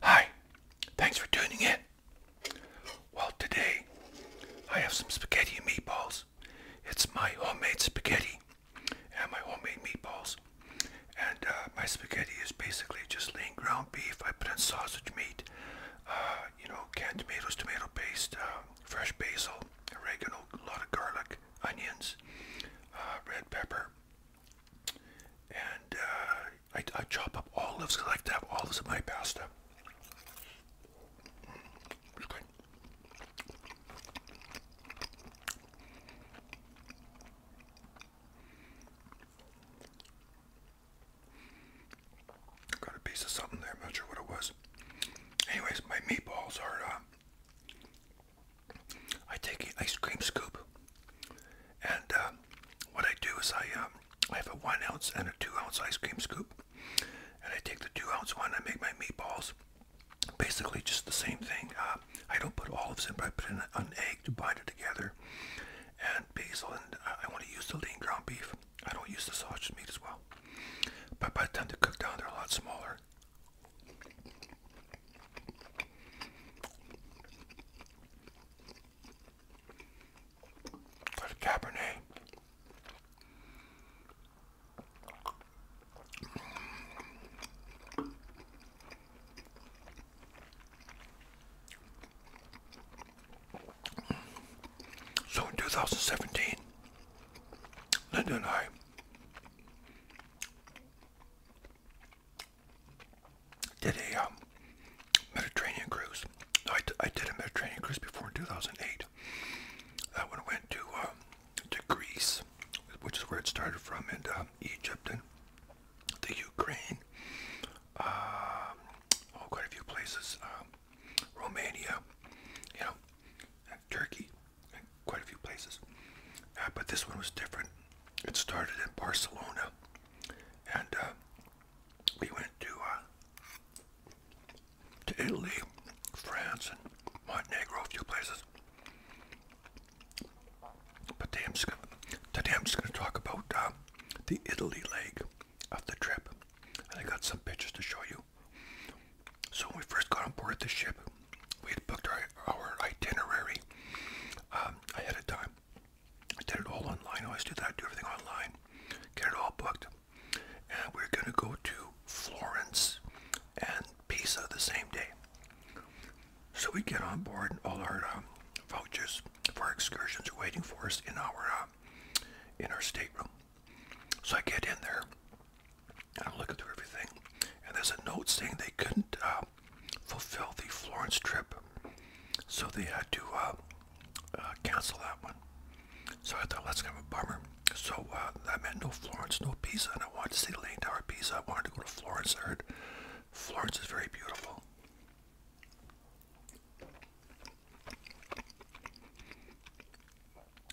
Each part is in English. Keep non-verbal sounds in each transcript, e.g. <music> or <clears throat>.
Hi, thanks for tuning in. Well, today I have some spaghetti and meatballs. It's my homemade spaghetti and my homemade meatballs. And uh, my spaghetti is basically just lean ground beef. I put in sausage meat, uh, you know, canned tomatoes, tomato paste, um, fresh basil, oregano, a lot of garlic, onions, uh, red pepper. And I, chop up olives because I like to have olives in my pasta. Got a piece of something there. not sure what it was. Anyways, my meatballs are. Uh, I take an ice cream scoop, and uh, what I do is I um, I have a one ounce and a two ounce ice cream scoop, and I take the two ounce one. I make my meatballs. Basically, just the same thing. Uh, I don't put olives in, but I put an egg to bind it together, and basil. And I want to use the lean ground beef. I don't use the sausage meat as well. But by the time they cook down, they're a lot smaller. Got a Cabernet. So in 2017, Linda and I did a um, Mediterranean cruise. I, I did a Mediterranean cruise before in 2008. That uh, went to, um, to Greece, which is where it started from, and um, Egypt and the Ukraine, um, oh, quite a few places, um, Romania, you know, Turkey, quite a few places. Uh, but this one was different. It started in Barcelona, and uh, we went to uh, to Italy, France, and Montenegro, a few places. But today I'm just gonna, talk about uh, the Italy leg of the trip, and I got some pictures to show you. So when we first got on board the ship, we had booked our, itinerary um, ahead of time. I did it all online. I always do that. I do everything online. Get it all booked. And we're going to go to Florence and Pisa the same day. So we get on board, and all our um, vouchers for our excursions are waiting for us in our uh, in our stateroom. So I get in there, and I'm looking through everything, and there's a note saying they couldn't uh, fulfill the Florence trip, so they had to uh, cancel that one. So I thought, that's kind of a bummer. So that meant no Florence, no pizza. and I wanted to see the Leaning Tower of Pisa. I wanted to go to Florence. I heard Florence is very beautiful.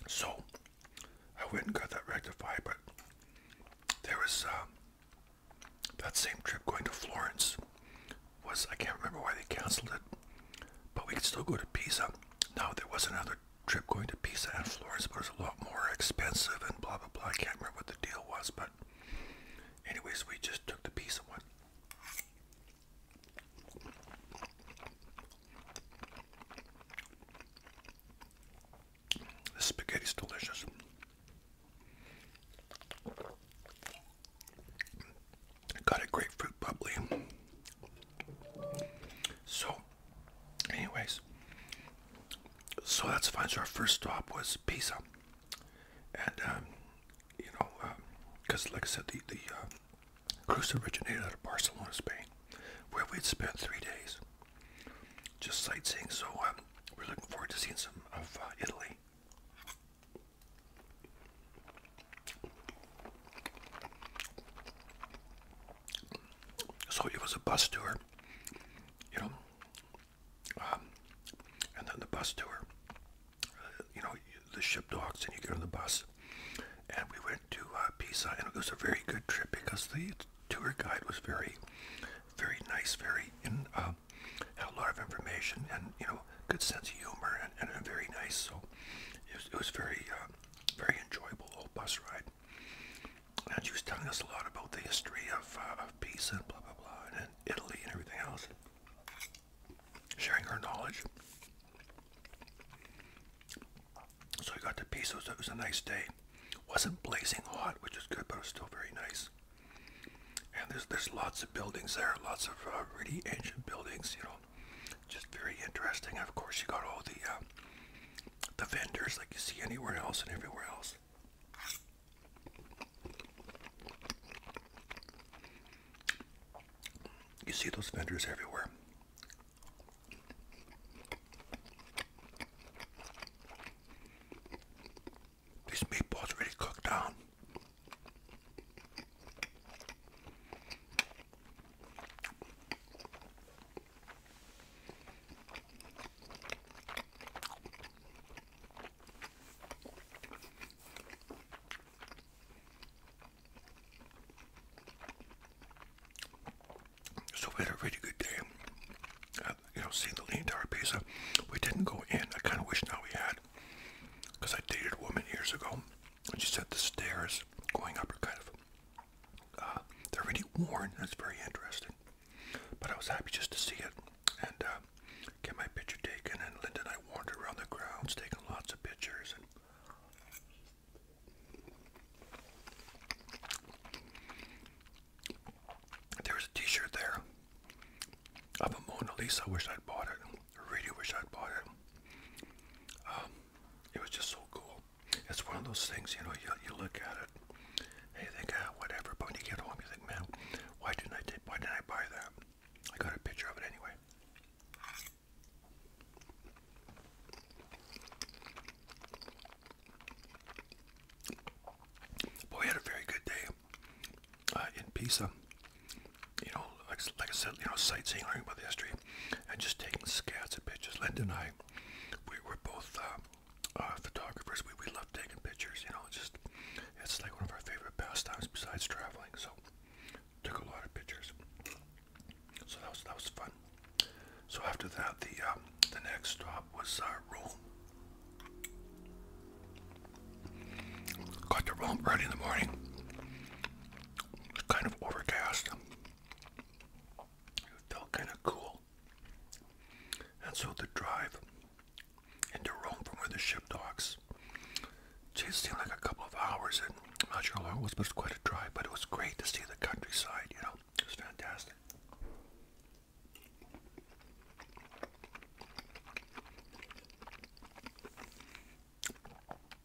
So I went and got that rectified, but there was um, that same trip going to Florence was I can't remember why they canceled it, but we could still go to Pisa. Now there was another trip going to Pisa and Florence, but it was a lot more expensive and blah blah blah. I can't remember what the deal was, but Anyways, we just took the piece one. The spaghetti's delicious. Got a grapefruit bubbly. So, anyways, so that's fine. So our first stop was pizza and um, you know, because um, like I said, the the uh, cruise originated out of Barcelona, Spain, where we'd spent three days just sightseeing. So um, we're looking forward to seeing some of uh, Italy. So it was a bus tour, you know, um, and then the bus tour. Uh, you know, the ship docks and you get on the bus. And we went to uh, Pisa and it was a very good trip because the tour guide was very, very nice, very, in, uh, a lot of information and, you know, good sense of humor and, and very nice. So it was, very, uh, very enjoyable old bus ride. And she was telling us a lot about the history of, of Pisa and blah, blah, blah, and Italy and everything else sharing her knowledge. So we got the pizza. So it was a nice day. wasn't blazing hot, which is good, but it was still very nice. And there's there's lots of buildings there, lots of uh, really ancient buildings, you know, just very interesting. of course, you got all the uh, the vendors like you see anywhere else and everywhere else. You see those vendors everywhere. These meatballs really cooked down. So we had a really good day. Uh, you know, seeing the lean tower pizza. Uh, we didn't go in. I kind of wish now we had. Because I dated a woman years ago. And she said the stairs going up are kind of... Uh, they're really worn. That's very interesting. But I was happy just to see it and um, get my picture taken. And Linda and I wandered around the grounds taking lots of pictures. there was a T-shirt there of a Mona Lisa. I wish I'd bought it. really wish I'd bought it. Um, it was just so cool. It's one of those things, you know. You you look at it. And you think, ah, whatever. But when you get home, you think, man, why didn't I did, Why didn't I buy that? I got a picture of it anyway. But had a very good day uh, in Pisa. You know, like, I said, you know, sightseeing, learning about the history, and just taking scats of pictures. Linda and I, we were both uh, uh, photographers. We, we loved taking pictures, you know, just it's like one of our favorite pastimes besides traveling. So took a lot of pictures. So that was that was fun. So after that, the um, the next stop was uh, Rome. Got to Rome early in the morning. It's kind of overcast. It felt kind of cool. And so the drive and to Rome from where the ship docks. It seemed like a couple of hours, and I'm not sure how long it was, but it was quite a drive. But it was great to see the countryside, you know, it was fantastic.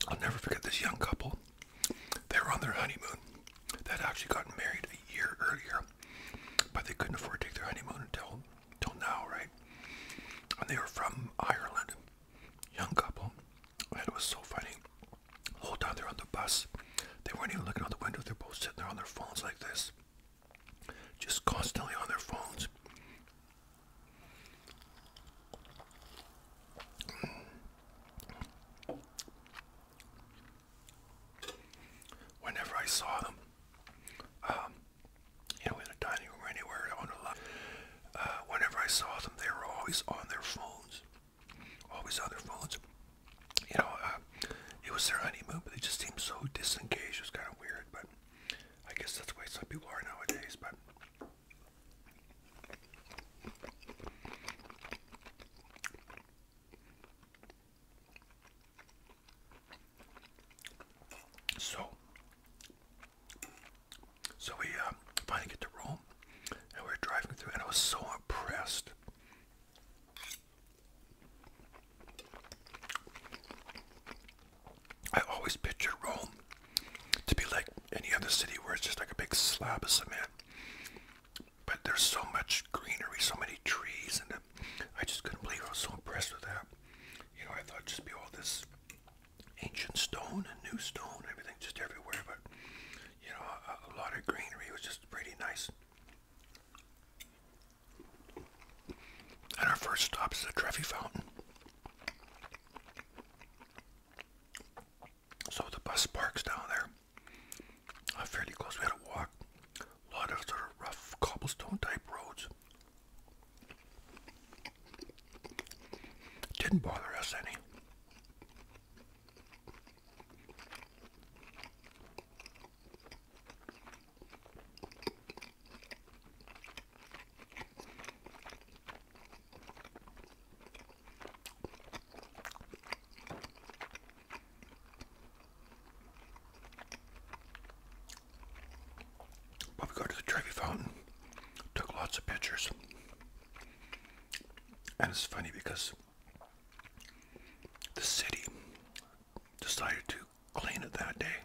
I'll never forget this young couple. They were on their honeymoon. they actually gotten married a year earlier, but they couldn't afford to take their honeymoon until till now, right? And they were from Ireland, young couple, and it was so funny. The whole time they're on the bus, they weren't even looking out the window. They're both sitting there on their phones like this, just constantly on their phones. Whenever I saw them, um, you know, in the dining room anywhere on the lot. Uh, whenever I saw them, they were always on their phones, always on their phones. You know, uh, it was their honeymoon, but they just seemed so disengaged. It was kind of weird, but I guess that's the way some people are nowadays. But so, so we uh, finally get to Rome, and we are driving through, and I was so impressed. I always picture Rome to be like any other city where it's just like a big slab of cement. But there's so much greenery, so many trees, and I just couldn't believe I was so impressed with that you know, I thought just be all this ancient stone and new stone, everything just everywhere, but you know, a, lot of greenery was just pretty nice. And our first stop is the Trevi Fountain. So the bus parks down there. Uh, fairly close. We had to walk. A lot of sort of rough cobblestone type roads. Didn't bother us any we go to the Trevi Fountain, took lots of pictures. And it's funny because the city decided to clean it that day.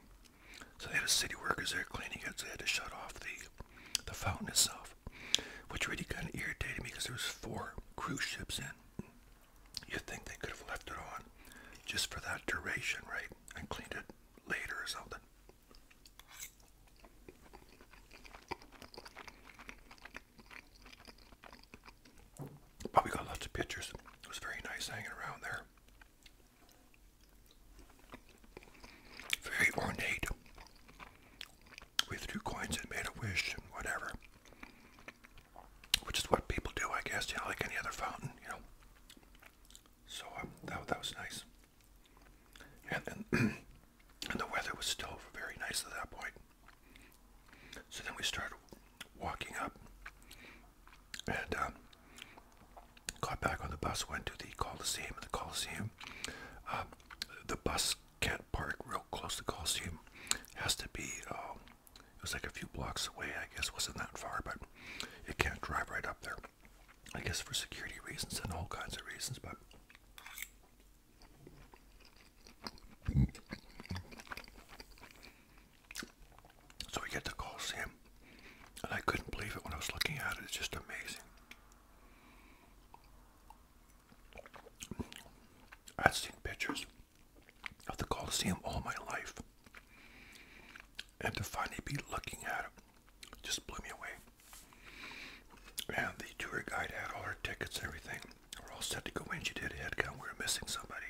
So they had city workers there cleaning it, so they had to shut off the, the fountain itself. Which really kind of irritated me because there was four cruise ships in. You'd think they could have left it on just for that duration, right? And cleaned it later or something. But we got lots of pictures. It was very nice hanging around there. Very ornate. We threw coins and made a wish and whatever. Which is what people do, I guess, you like any other fountain, you know. So um, that, that was nice. And, and, <clears throat> and the weather was still very nice at that point. So then we started walking up and um, got back on the bus, went to the Coliseum. The Coliseum, um, the bus can't park real close to the Coliseum. has to be, it was like a few blocks away, I guess, wasn't that far, but it can't drive right up there. I guess for security reasons and all kinds of reasons, but so we get the Colosseum, and I couldn't believe it when I was looking at it. It's just amazing. I'd seen pictures of the Colosseum all my life and to finally be looking at it just blew me away. And the tour guide had all her tickets and everything. We're all set to go in. She did a head count. We were missing somebody.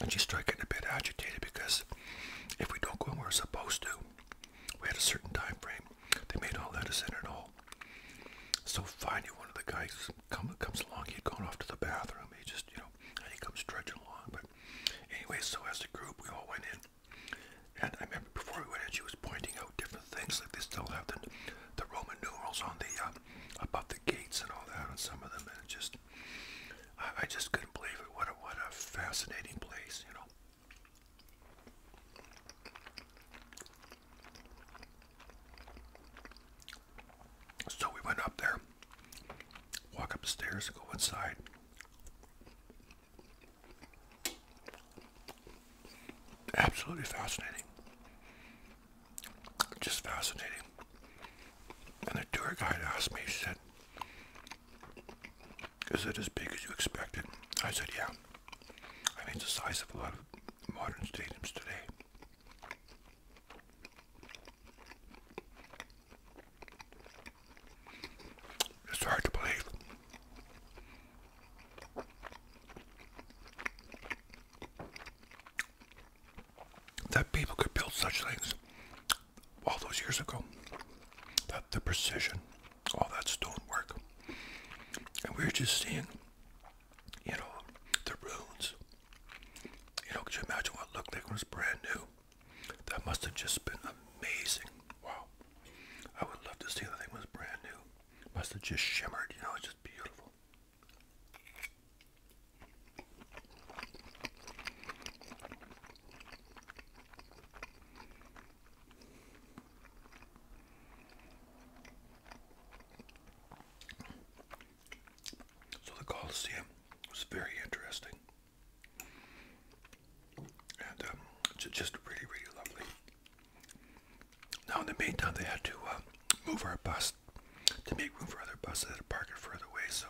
And she started getting a bit agitated because if we don't go when we're supposed to, we had a certain time frame. They made all that us in and all. So finally one of the guys comes come, comes along. He had gone off to the bathroom. He just, you know, and he comes trudging along. But anyway, so as a group, we all went in. And I remember before we went in, she was pointing out different things. Like they still have the, the Roman numerals on the uh, above the gates and all that on some of them. And it just, I, I just couldn't believe it. What a what a fascinating place, you know. So we went up there, walk up go inside. Absolutely fascinating. Just fascinating. And the tour guide asked me, she said, Is it as big as you expected? I said, Yeah. I mean, it's the size of a lot of modern stadiums today. It's hard to believe. That people could build such things all those years ago. That the precision, all that stone work, And we're just seeing you know, the runes. You know, could you imagine what looked like when it was brand new? That must have just been amazing. Wow. I would love to see the thing was brand new. Must have just shimmered, you know, it's just beautiful. So the Colosseum was very interesting. And um, just really, really lovely. Now in the meantime, they had to uh, move our bus to make room for other buses that had parked further away. So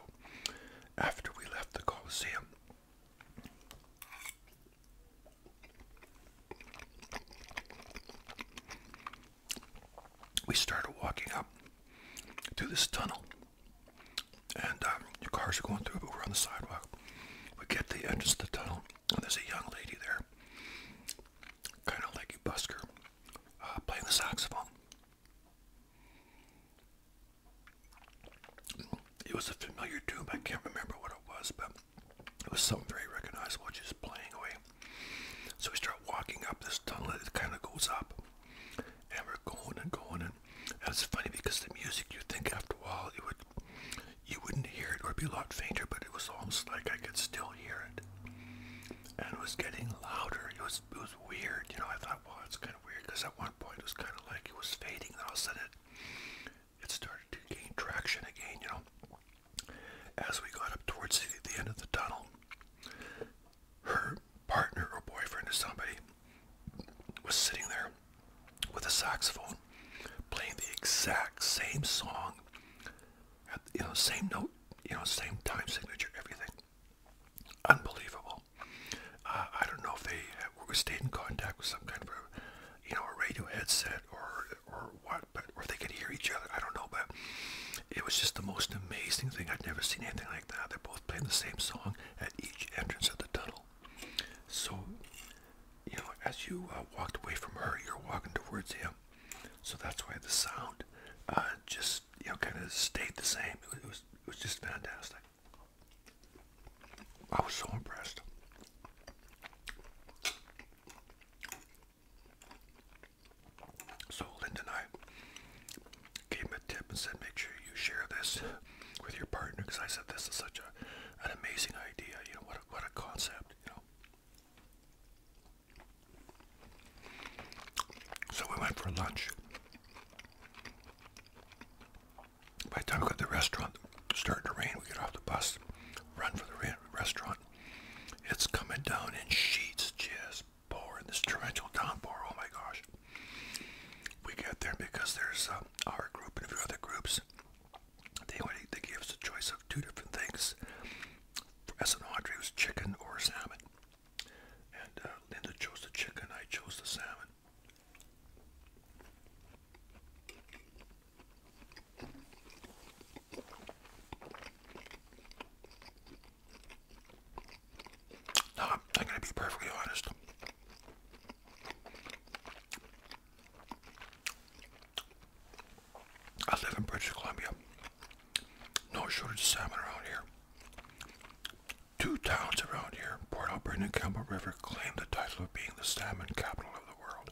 after we left the Coliseum, we started walking up to this tunnel. And um, cars are going through, but we're on the sidewalk. We get the entrance to the tunnel, and there's a young lady there, kind of like a busker, uh, playing the saxophone. It was a familiar tune, I can't remember what it was, but it was something very recognizable, just playing away. So we start walking up this tunnel, it kind of goes up, and we're going and going. And, and it's funny because the music, you think after a while, it would you wouldn't hear it or be a lot fainter, but it was almost like I could still hear it. And it was getting louder. It was, it was weird. You know, I thought, well, it's kind of weird because at one point it was kind of like it was fading, Then all of a sudden it started to gain traction again, you know. As we got up towards the, end of the tunnel, her partner or boyfriend or somebody was sitting there with a saxophone playing the exact same song you know same note you know same time signature everything unbelievable uh, i don't know if they uh, stayed in contact with some kind of a you know a radio headset or or what but or they could hear each other i don't know but it was just the most amazing thing. I'd never seen anything like that. They're both playing the same song at each entrance of the tunnel. So, you know, as you uh, walked away from her, you're walking towards him. So that's why the sound uh, just, you know, kind of stayed the same. it was, it was just fantastic. I was so impressed. So Linda and I gave him a tip and said, make sure you share this with your partner because I said this is such a, an amazing idea. You know, what a, what a concept, you know. So we went for lunch. By the time we got to the restaurant, it's starting to rain, we get off the bus, run for the restaurant. It's coming down in sheets, just pouring, this torrential downpour. Oh my gosh. We get there because there's uh, our group and a few other groups. They, they gave us a choice of two different things. For S and Audrey, was chicken or salmon. And uh, Linda chose the chicken, I chose the salmon. No, I'm, going to be perfectly honest. I live in British Columbia. No shortage of salmon around here. Two towns around here, Port Alberta and Campbell River, claim the title of being the salmon capital of the world.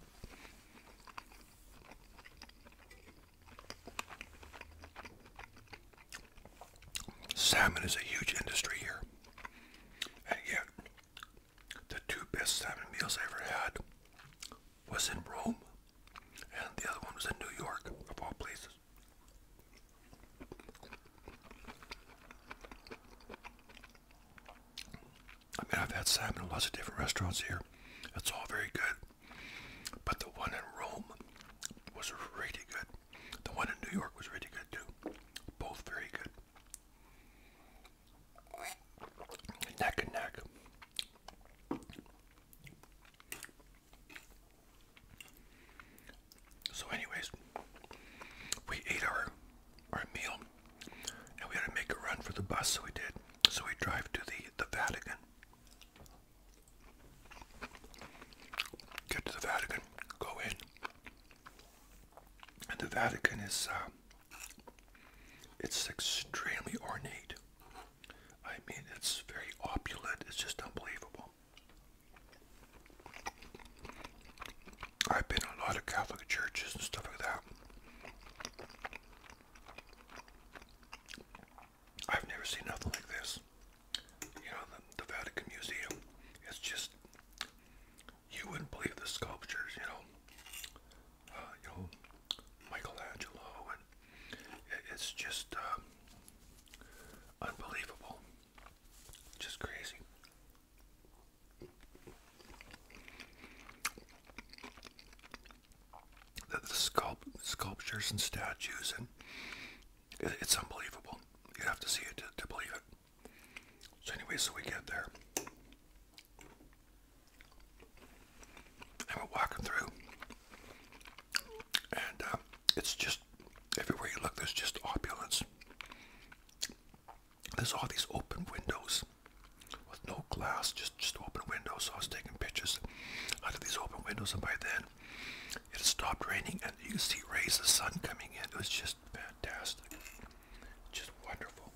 Salmon is a huge industry here. And yet, the two best salmon meals I ever had was in Rome, and the other one was in New York, of all places. I mean, I've had salmon in lots of different restaurants here. It's all very good. But the one in Rome was really good. The one in New York was really good too. Both very good. Neck and neck. So anyways, we ate our our meal and we had to make a run for the bus so we did. So we drive to the the Vatican. Get to the Vatican, go in. And the Vatican is, uh, it's extremely ornate. I mean, it's very opulent, it's just unbelievable. I've been in a lot of Catholic churches and stuff like that. I've never seen nothing like this. You know, the, Vatican Museum. It's just you wouldn't believe the sculptures. You know, uh, you know, Michelangelo, and it's just um, unbelievable. Just crazy the, the sculpt, sculptures and statues, and it's unbelievable. You have to see it to, believe it. So anyway, so we get there. And we're walking through, and uh, it's just everywhere you look. There's just opulence. There's all these open windows with no glass, just just open windows. So I was taking pictures out of these open windows, and by then it stopped raining and you can see rays of sun coming in. It was just fantastic. Just wonderful.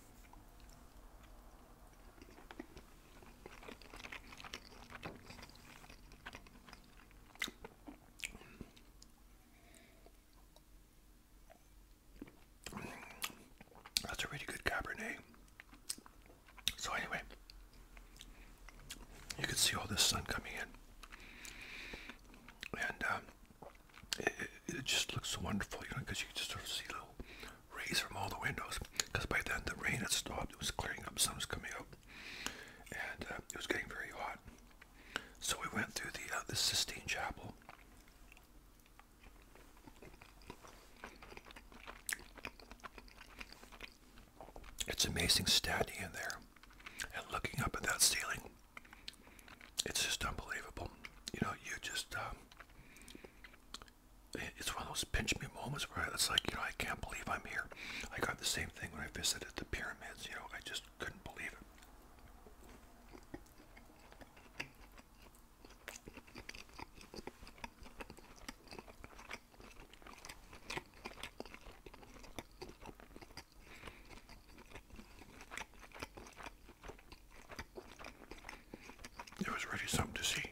That's a really good Cabernet. So anyway, you can see all this sun coming in, and um, it, just looks so wonderful, you know, because you can just sort of see little rays from all the windows. Because by then the rain had stopped; it was clearing up, sun was coming up, and uh, it was getting very hot. So we went through the uh, the Sistine Chapel. It's amazing standing in there and looking up at that ceiling. It's just unbelievable. You know, you just, um, it's one of those pinch me moments where it's like, you know, I can't believe I'm here. I got the same thing when I visited the pyramids, you know, I just couldn't believe it. It was really something to see.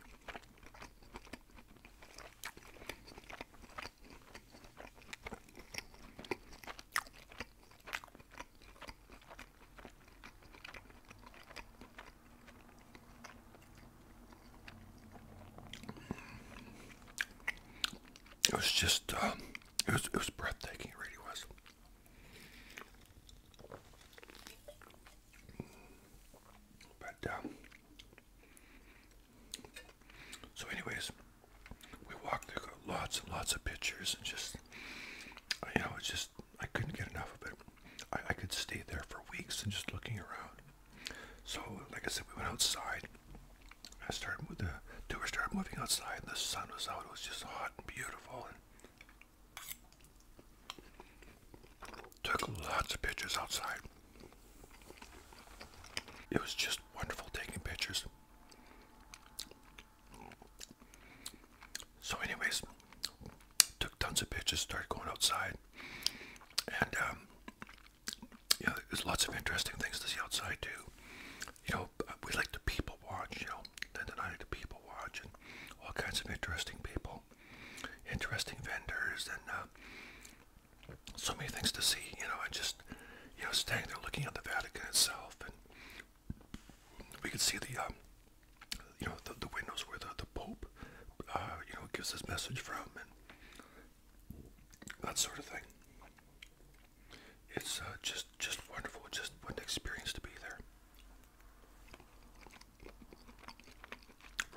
It was just, um, it was, it was breathtaking. It really was. But um, so, anyways, we walked. There got lots and lots of pictures, and just you know, it's just I couldn't get enough of it. I, I could stay there for weeks and just looking around. So, like I said, we went outside. I started with the tour started moving outside, and the sun was out. It was just hot and beautiful, and took lots of pictures outside. It was just wonderful taking pictures. So, anyways, took tons of pictures. Started going outside, and um, you know, there's lots of interesting things to see outside too. You know, uh, we like to people watch. You know, then the night to people watch and all kinds of interesting people, interesting vendors, and uh, so many things to see. You know, and just you know, staying there looking at the Vatican itself, and we could see the um, you know, the, the windows where the the Pope, uh, you know, gives his message from, and that sort of thing. It's uh, just just wonderful. Just what an experience to be there.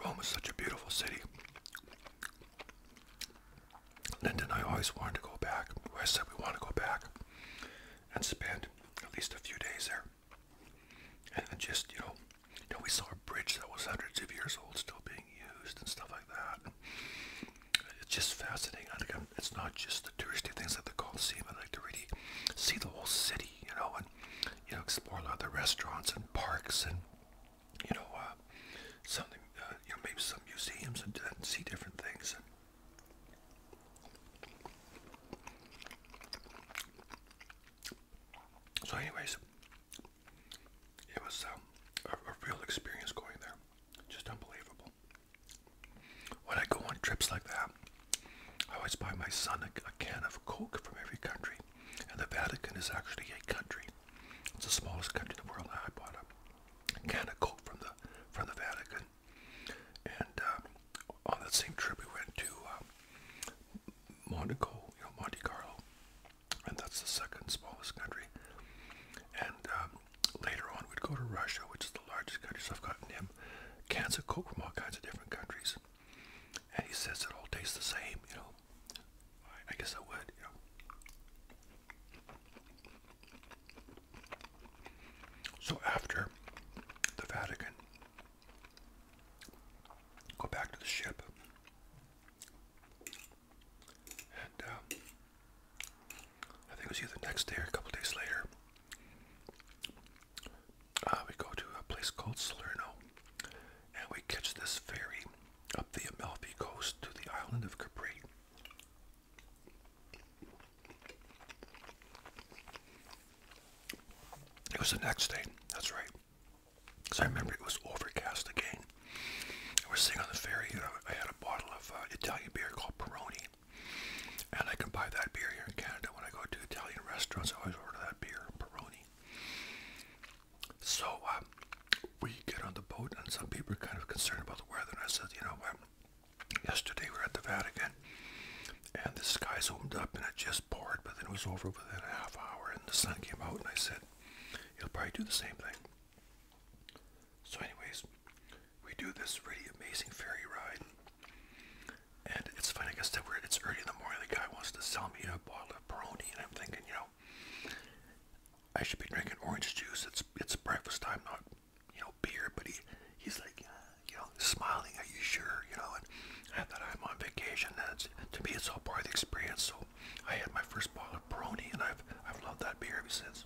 Rome is such a beautiful city. Linda and I always wanted to go back. I said we want to go back and spend at least a few days there. And just, you know, you know we saw bridge that was hundreds of years old still being used and stuff like that. It's just fascinating. I think I'm, it's not just the touristy things that at the Coliseum. I like to really see the whole city, you know, and you know explore a lot of the restaurants and parks and you know uh, something, uh, you know, maybe some museums and, see different things. so, anyways, it was um, a, a real experience going there. Just unbelievable. When I go on trips like that, I always buy my son a, can of Coke from every country. And the Vatican is actually a country. It's the smallest country in the world. I bought a can of Coke from the from the Vatican. And uh, on that same trip, we went to uh, Monaco, you know, Monte Carlo, and that's the second smallest country. And um, later on, we'd go to Russia, which is the largest country. So I've gotten him cans of Coke from all kinds of different countries, and he says it all tastes the same. You know, I, guess I would. You know. So after the Vatican, go back to the ship. And um, I think it was either the next day or a couple days later. Uh, we go to a place called Salerno, and we catch this ferry up the Amalfi coast to the island of Capri. It was the next day. That's right. Because I remember it was overcast again. We're sitting on the ferry I had a bottle of uh, Italian beer called Peroni. And I can buy that beer here in Canada when I go to Italian restaurants. I always order that beer, Peroni. So uh, we get on the boat, and some people are kind of concerned about the weather. And I said, you know what? Yesterday we were at the Vatican, and the skies opened up, and it just poured, but then it was over within a half hour, and the sun came out. And I said, it'll probably do the same thing. So, anyways, we do this really amazing ferry ride, and it's funny. I guess that we're it's early in the morning. The guy wants to sell me a bottle of Peroni, and I'm thinking, you know, I should be drinking orange juice. It's it's breakfast time, not you know beer. But he he's like, you know, smiling. Are you sure? You know, and I thought I'm on vacation. That's to me, it's all part of the experience. So I had my first bottle of Brony, and I've I've loved that beer ever since.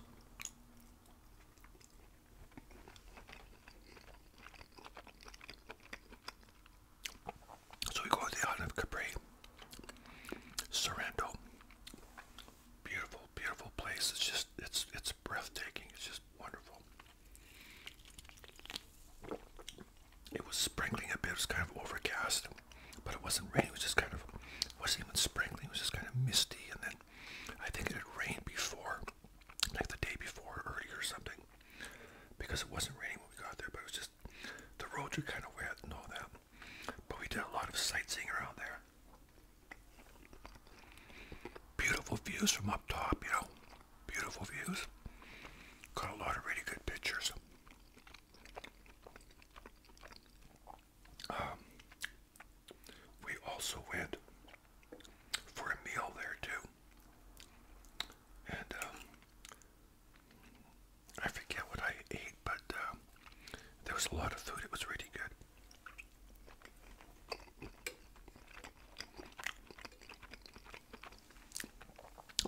So we go to the island of Capri, Sorrento. Beautiful, beautiful place. It's just it's it's breathtaking. It's just wonderful. It was sprinkling a bit. It was kind of overcast but it wasn't raining. It was just kind of, it wasn't even sprinkling. It was just kind of misty. And then I think it had rained before, like the day before, early or something, because it wasn't raining when we got there. But it was just the roads were kind of wet and all that. But we did a lot of sightseeing around there. Beautiful views from up top, you know. Beautiful views. Got a lot of really good pictures. Um, we also went for a meal there too. And um, I forget what I ate, but um, there was a lot of food. It was really good.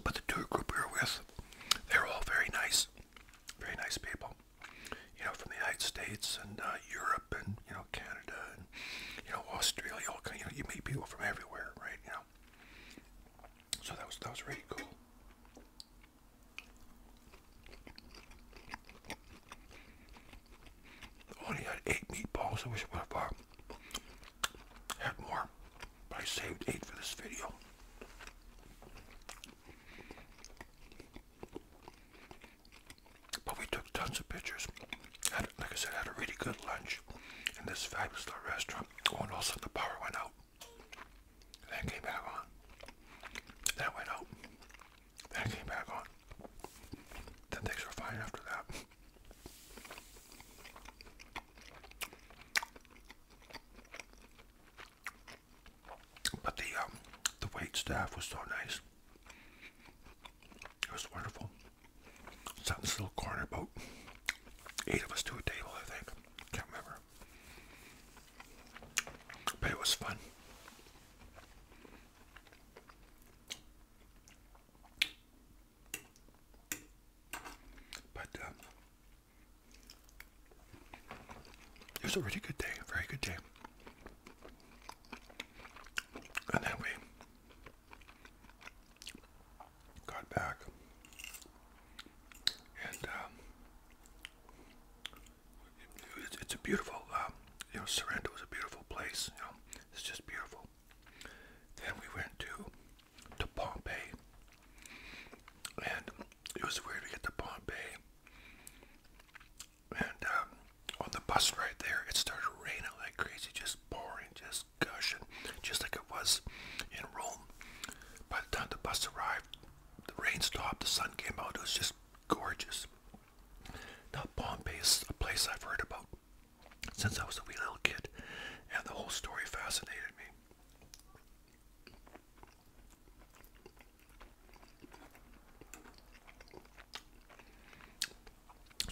But the tour group we were with, they're all very nice very nice people, you know, from the United States and uh, Europe and, you know, Canada and, you know, Australia, all kind, you know, you meet people from everywhere, right, you know. So that was, that was really cool. Only had eight meatballs, I wish I would have uh, had more, but I saved eight for this video. But we took tons of pictures. Had, like I said, had a really good lunch in this fabulous little restaurant. Oh, and also the power went out. Then came back on. Then went out. Then came back on. Then things were fine after that. But the um, the wait staff was so nice. It was wonderful. Sat in this little corner, boat, eight of us to a table, I think. Can't remember. But it was fun. But um, it was a really good day, a very good day. And then we got back and um, it's a beautiful, um, you know, Sorrento is a beautiful place, it's just beautiful. Then we went to to Pompeii and it was weird to get to Pompeii. And um, on the bus right there, it started raining like crazy, just pouring, just gushing, just like it was in Rome. By the time the bus arrived, the rain stopped, the sun came out, it was just gorgeous. Now Pompeii is a place I've heard about since I was a wee little kid, and the whole story fascinated me.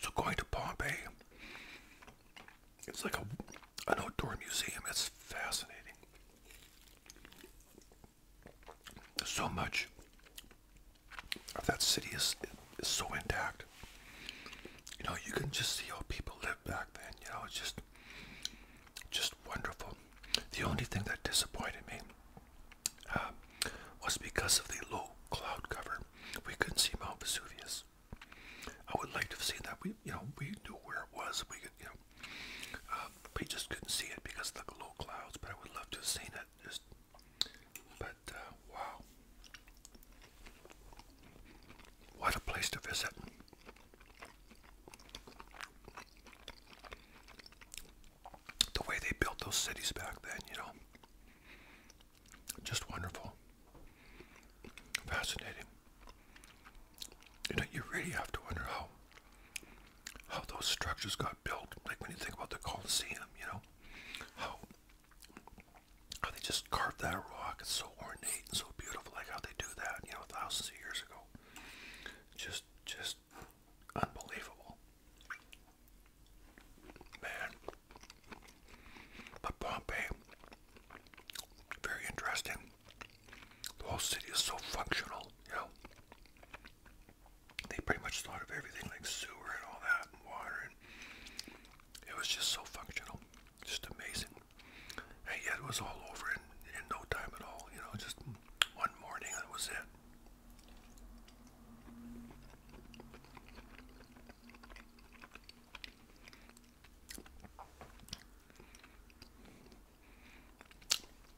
So going to Pompeii, it's like a an outdoor museum. It's fascinating. So much of that city is so intact. You know, you can just see how people lived back then. You know, it's just just wonderful. The only thing that disappointed me uh, was because of the low cloud cover. We couldn't see Mount Vesuvius. I would like to have seen that. We, you know, we knew where it was. We could, you know, uh, we just couldn't see it because of the low clouds. But I would love to have seen it. Just, but uh, wow, what a place to visit! the way they built those cities back then, you know. Just wonderful. Fascinating. You know, you really have to wonder how how those structures got built. Like when you think about the Colosseum, you know, how how they just carved that rock. It's so ornate and so beautiful. Like how they do that, you know, thousands of years ago. Just just unbelievable. Man. But Pompeii very interesting. The whole city is so functional, you know. They pretty much thought of everything like sewer and all that and water it was just so functional. Just amazing. And yet it was all over in no time at all, you know, just one morning, that was it.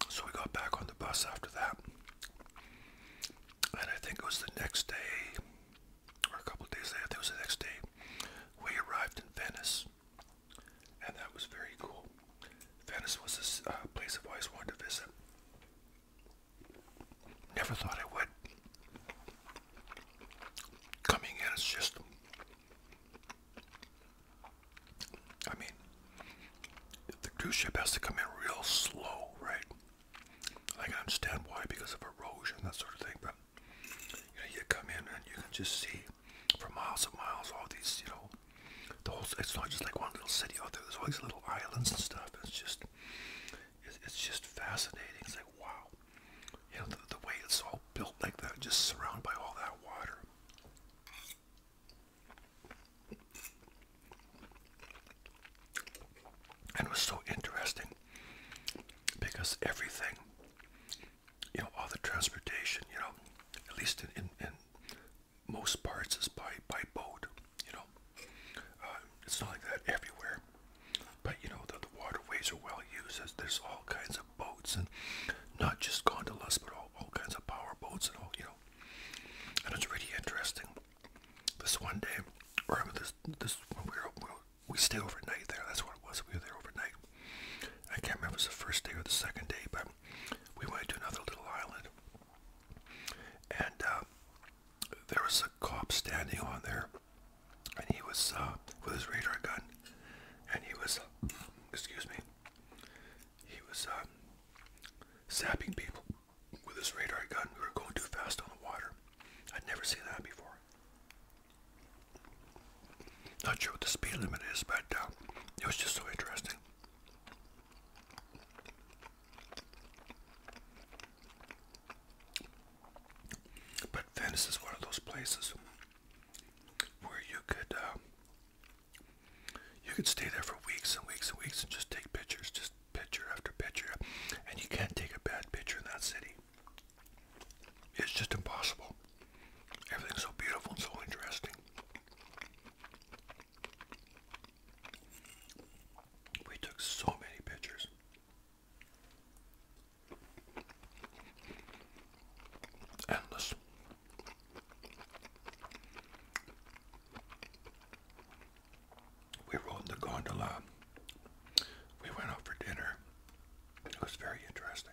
So we got back on the bus after that, and I think it was the next day, or a couple days later, it was the next day, we arrived in Venice and that was very cool. Venice was a uh, place I've always wanted to visit. Never thought I would. Coming in, it's just. I mean, the cruise ship has to come in real slow, right? I can understand why, because of erosion, that sort of thing, but you come in and you just see for miles and miles, all these, you know, the whole, it's not just like one little city out there, there's all little islands and stuff, it's just, it's, just fascinating, it's like, wow, you know, the, way it's all built like that, just surrounded by all that water. And it was so interesting because everything, you know, all the transportation, you know, at least in most parts is by by boat. You know, uh, it's not like that everywhere, but you know that the waterways are well used. As there's all kinds of boats and not just gondolas, but all, all kinds of power boats and all. You know, and it's really interesting. This one day, I remember this this when we were, we were we stayed overnight there. That's what it was. We were there overnight. I can't remember if it was the first day or the second day, but we went to another little island, and uh, there was a cop standing on there, and he was uh, with his radar gun, and he was, excuse me, he was sapping um, people with his radar gun. We were going too fast on the water. I'd never seen that before. Not sure what the speed limit is, but uh, it was just so interesting. But Venice is one of those places where you could um, you could stay there for weeks and weeks and weeks and just take pictures, just picture after picture, and you can't take a bad picture in that city. It's just impossible. Everything's so beautiful and so interesting. We took so many pictures. Endless. We rode the gondola. We went out for dinner. It was very interesting.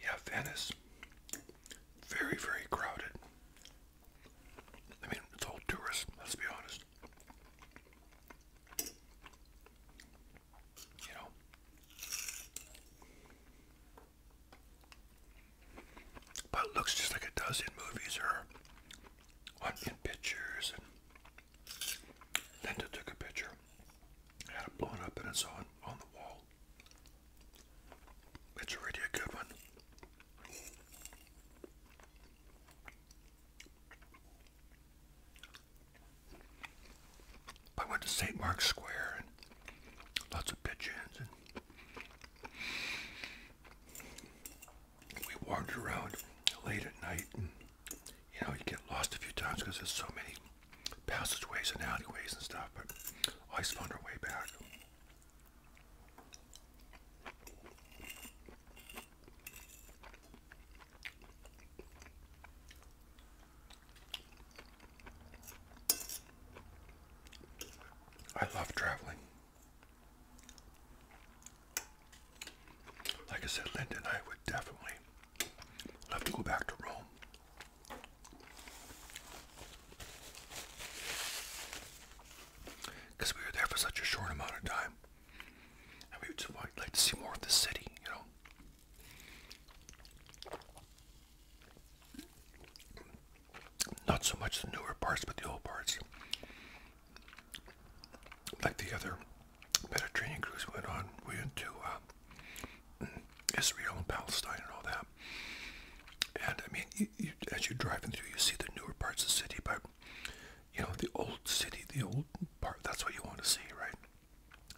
Yeah, Venice. Very, very crowded. I mean, it's all tourists, let's be honest. You know. But it looks just like it does in movies or in pictures. And Linda took a picture, had it blown up, and it's on, on the wall. It's already a good one. I went to St. Mark's Square and lots of pigeons and we wandered around late at night and you know you get lost a few times because there's so many passageways and alleyways and stuff but always found our way back I love traveling. Like I said, Linda I would definitely love to go back to Rome. Because we were there for such a short amount of time. I would I'd like to see more of the city, you know. Not so much the newer parts, but the old parts. Like the other Mediterranean cruise went on, went to um, Israel and Palestine and all that. And I mean, as you're driving through, you see the newer parts of the city, but you know, the old city, the old part, that's what you want to see, right?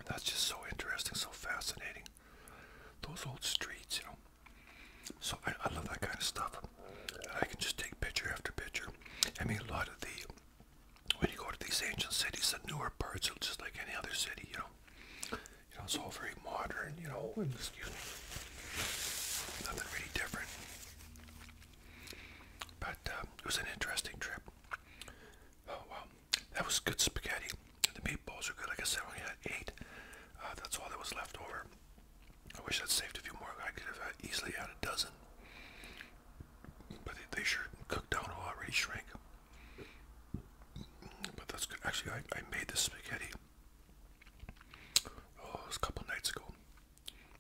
That's just so interesting, so fascinating. Those old streets, you know. So I, love that kind of stuff. I can just take picture after picture. I mean, a lot of the, when you go to these ancient cities, the newer parts are just like any other city, you know. You know, it's all very modern, you know, and excuse me, nothing really different. But um, it was an interesting trip. Oh wow, that was good spaghetti. The meatballs are good. Like I said, I had eight. Uh, that's all that was left over. I wish I'd saved a few more. I could have uh, easily had a dozen. But they, sure cooked down a lot, already shrank. But that's good. Actually, I, I made this spaghetti. Oh, it was a couple nights ago.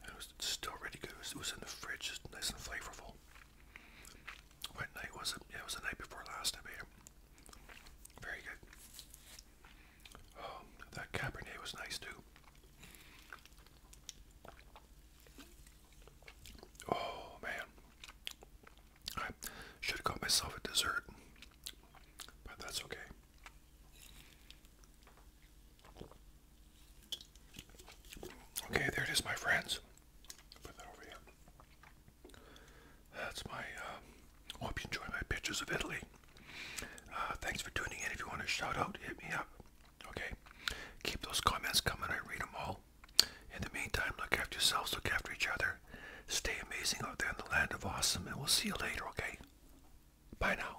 it was still really good. It was, it was in the fridge, just nice and flavorful. What night was it? it was the night before last, I made Very good. Um, that Cabernet was nice too. Oh man, I should have got myself a dessert, but that's okay. Okay, there it is, my friends. That's my. Uh, hope you enjoy my pictures of Italy. Uh, thanks for tuning in. If you want a shout out, hit me up. Okay. Keep those comments coming. I read them all. In the meantime, look after yourselves. Look after each other. Stay amazing out there in the land of awesome, and we'll see you later. Okay. Bye now.